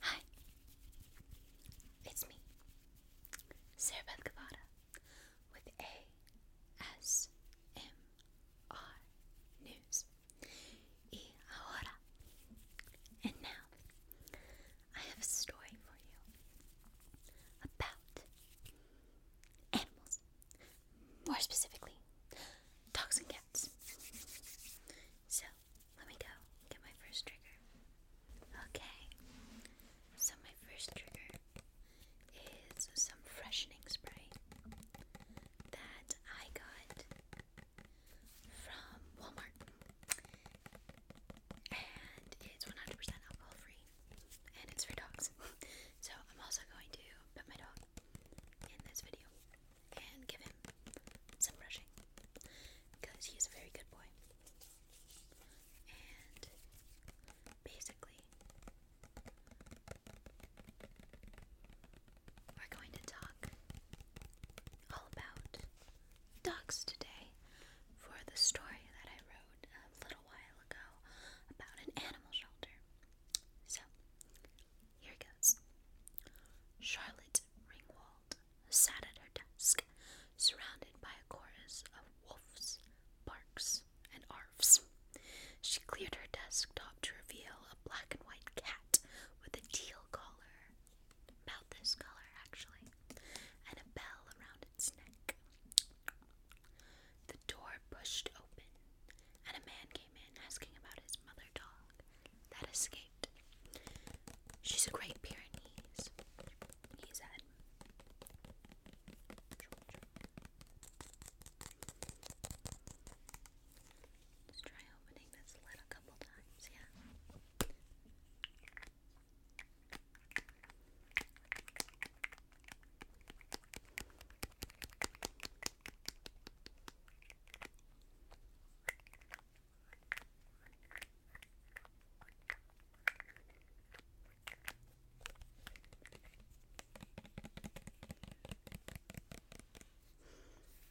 Hi, it's me, Sarah Beth with ASMR News. Y ahora. And now, I have a story for you about animals more specifically, dogs and cats. So, let me go get my first trigger. Okay, so my first trigger is some freshening spray that I got from Walmart. And it's 100% alcohol free. And it's for dogs. so I'm also going to put my dog in this video and give him some brushing because he's a very good boy. And basically, we're going to talk all about dogs today for the story that I wrote a little while ago about an animal shelter. So, here goes. Charlotte Ringwald sat at her desk, surrounded by a chorus of wolves, barks, and arfs. She cleared her desktop to reveal a black and white cat with a teal collar, about this actually, and a bell around its neck. The door pushed open, and a man came in asking about his mother dog that escaped. She's a Great Pyrenees, he said. Let's try opening this lid a couple times, yeah.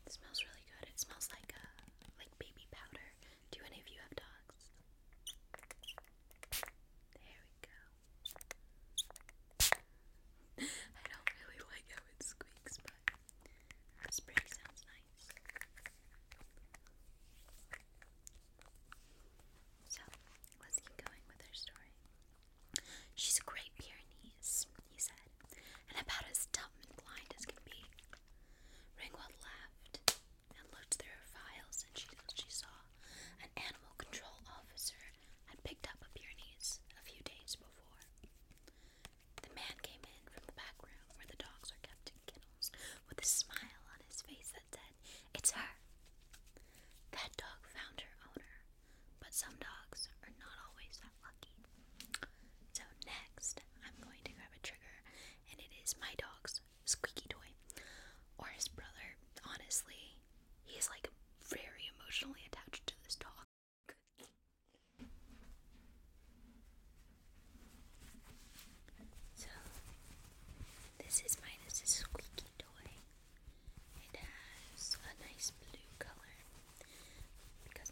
It smells really good. It smells like a uh, like baby powder. Do any of you have dogs? There we go. I don't really like how it squeaks, but the spray sounds nice. So, let's keep going with her story. She's a great Pyrenees, he said, and about as dumb and blind as can be. Ringwald laughed and looked through her files, and she, she saw an animal control officer had picked up a Pyrenees a few days before. The man came in from the back room where the dogs are kept in kennels with a smile on his face that said, It's her. That dog found her owner, but some dogs are not always that lucky. So, next, I'm going to grab a trigger, and it is my dog's squeaky toy, or his brother. Honestly, he's like very emotionally attached to this dog. So, this is minus a squeaky toy. It has a nice blue color because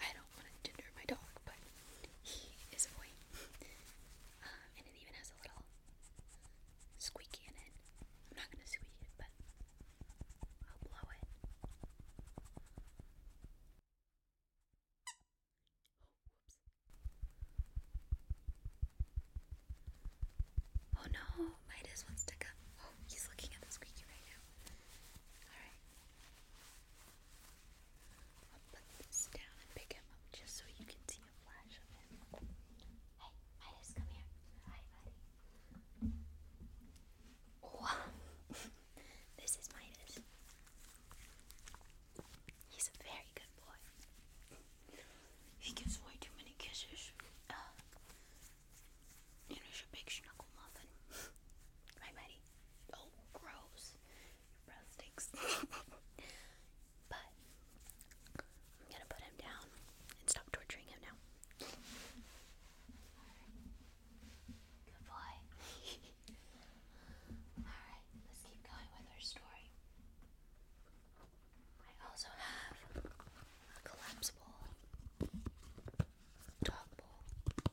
I don't want to tinder my dog, but he is a boy. Uh, and it even has a little squeaky in it. I'm not gonna squeak it, but I'll blow it. Oh, whoops. Oh no, Midas wants to come. Oh, he's looking at the squeaky right now. Alright. I'll put this down and pick him up just so you can see a flash of him. Hey, Midas, come here. Hi, buddy. Oh, this is Midas. He's a very good boy. He gives way too many kisses. you know, he's a big snuggle muffin. right, buddy? Oh, gross. Your breath stinks. but I'm gonna put him down and stop torturing him now. Good boy. Alright, let's keep going with our story. I also have a collapsible dog bowl.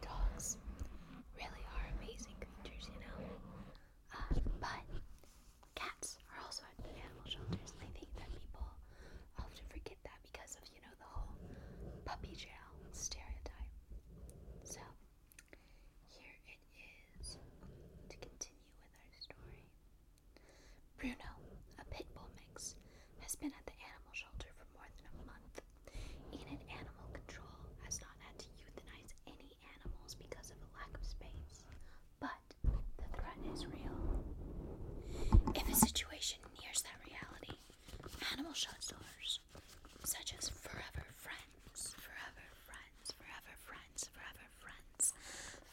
Dogs really are amazing creatures, you know. Um, but cats are also at the animal shelters, and I think that people often forget that because of, you know, the whole puppy jail stereotype. So, here it is to continue with our story. Bruno, a pit bull mix, has been at the animal shelter for more than a month. Enid Animal Control has not had to euthanize any animals because of a lack of space, but the threat is real. If a situation nears that reality, animal shelters, such as Forever Friends, Forever Friends, Forever Friends, Forever Friends,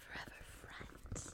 Forever Friends,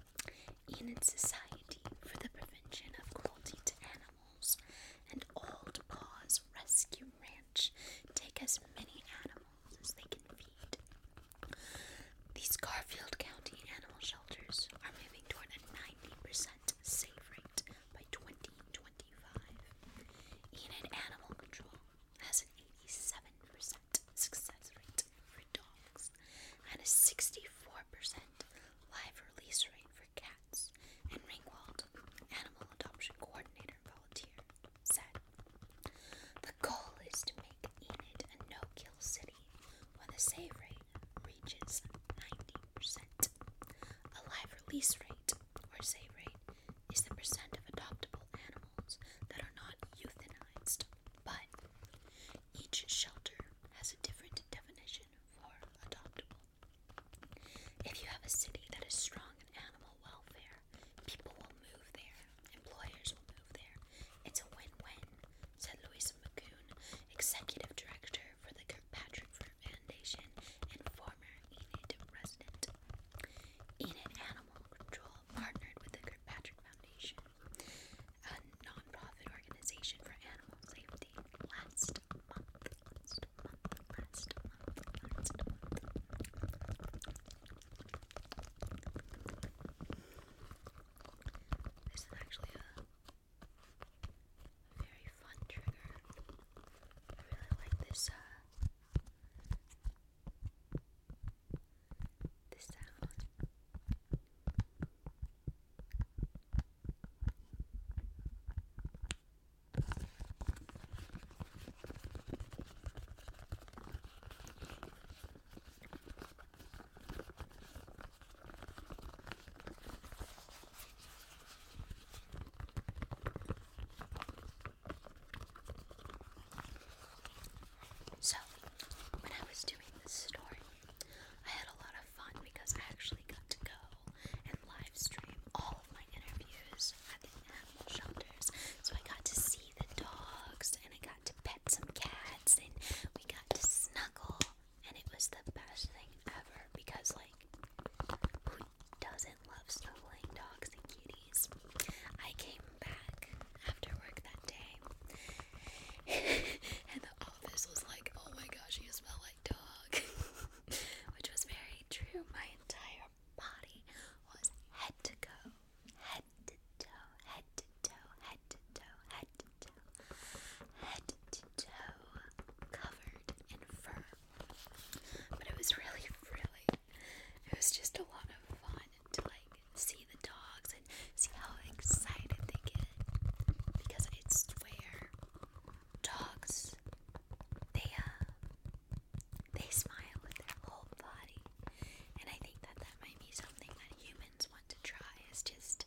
in society for the prevention of cruelty to animals, and Old Paws Rescue Ranch take as many animals as they can feed. These Garfield County animal shelters are moving toward a 90% save rate by 2025. Enid Animal Control has an 87% success rate for dogs and a 64% live release rate for cats, and Ringwald, animal adoption coordinator volunteer, said, The goal is to make Enid a no-kill city when the save rate reaches 90%. A live release rate, or save rate, is the percent of adoptable animals that are not euthanized, but each shelter has a different definition for adoptable. If you have a city that is strong in animal welfare, people will move there, employers will move there. It's a win win, said Louisa McCoon, executive director for the Kirkpatrick Foundation and former Enid resident. Enid Animal Control partnered with the Kirkpatrick Foundation, a nonprofit organization for animal safety, last month. Last month, last month, last month. This is actually a very fun trigger. I really like this uh, the sound. So when I was doing this story, I had a lot of fun because I actually got to go and live stream all of my interviews at the animal shelters. So I got to see the dogs and I got to pet some cats and we got to snuggle and it was the best thing ever because like who doesn't love snuggling dogs and kitties? I came back after work that day, and the office was like, "Oh my gosh, you smell like dog," which was very true. My entire body was head to go, head to toe, head to toe, head to toe, head to toe, head to toe, covered in fur. But it was really, really, it was just a lot of fun to like see the dogs and see how excited they get. Because I swear, dogs, they uh, they smile with their whole body, and I think that that might be something that humans want to try. Is just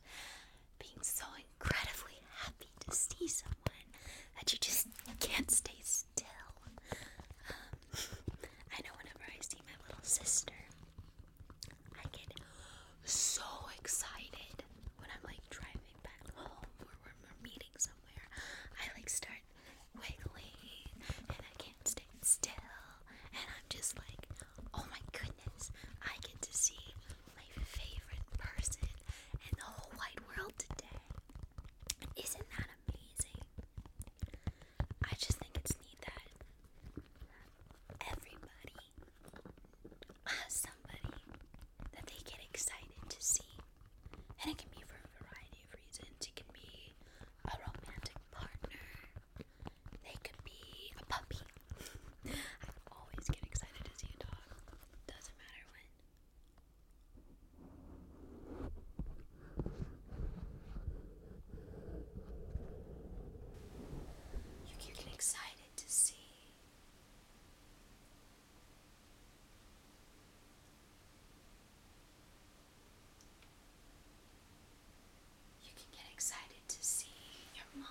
being so incredibly happy to see someone that you just can't stay still. Um, I know whenever I see my little sister, I get so excited when I'm like driving back home or we're meeting somewhere. I like start wiggling and I can't stay still, and I'm just like, oh my goodness, I get to see my favorite person in the whole wide world today. Isn't that amazing? I just think it's neat that everybody has somebody that they get excited to see. And it can be for a variety of reasons. It can be a romantic partner, they could be a puppy. I always get excited to see a dog. Doesn't matter when. You get excited to see. You can get excited to see your mom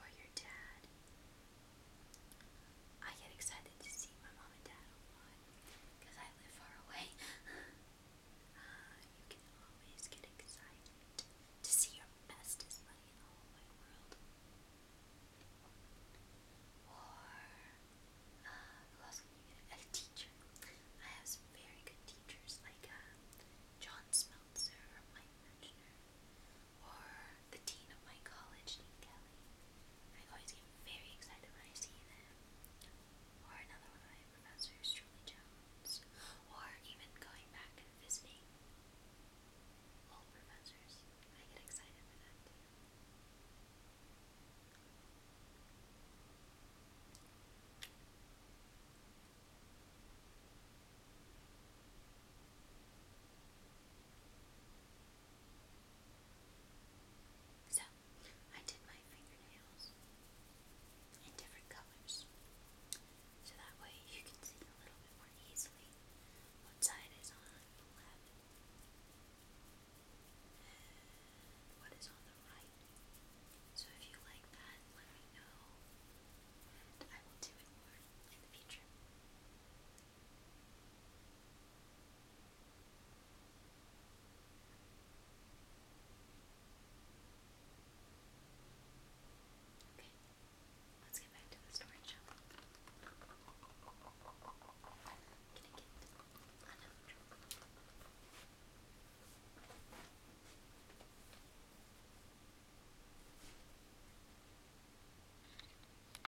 or your dad. I get excited to see my mom and dad a lot because I live far away, uh, you can always get excited to see your bestest buddy in the whole wide world. Or, uh, A teacher. I have very good teachers, like uh, John Smeltzer or Mike or the dean of my college, Dean Kelly. I always get very excited when I see them. Or another one of my professors, Julie Jones. Or even going back and visiting old professors. I get excited for that too. I so, I did my fingernails in different colors so that way you can see a little bit more easily what side is on the left and what is on the right. So, if you like that, let me know and I will do it more in the future. Okay, let's get back to the storage shop. Can I get another truck?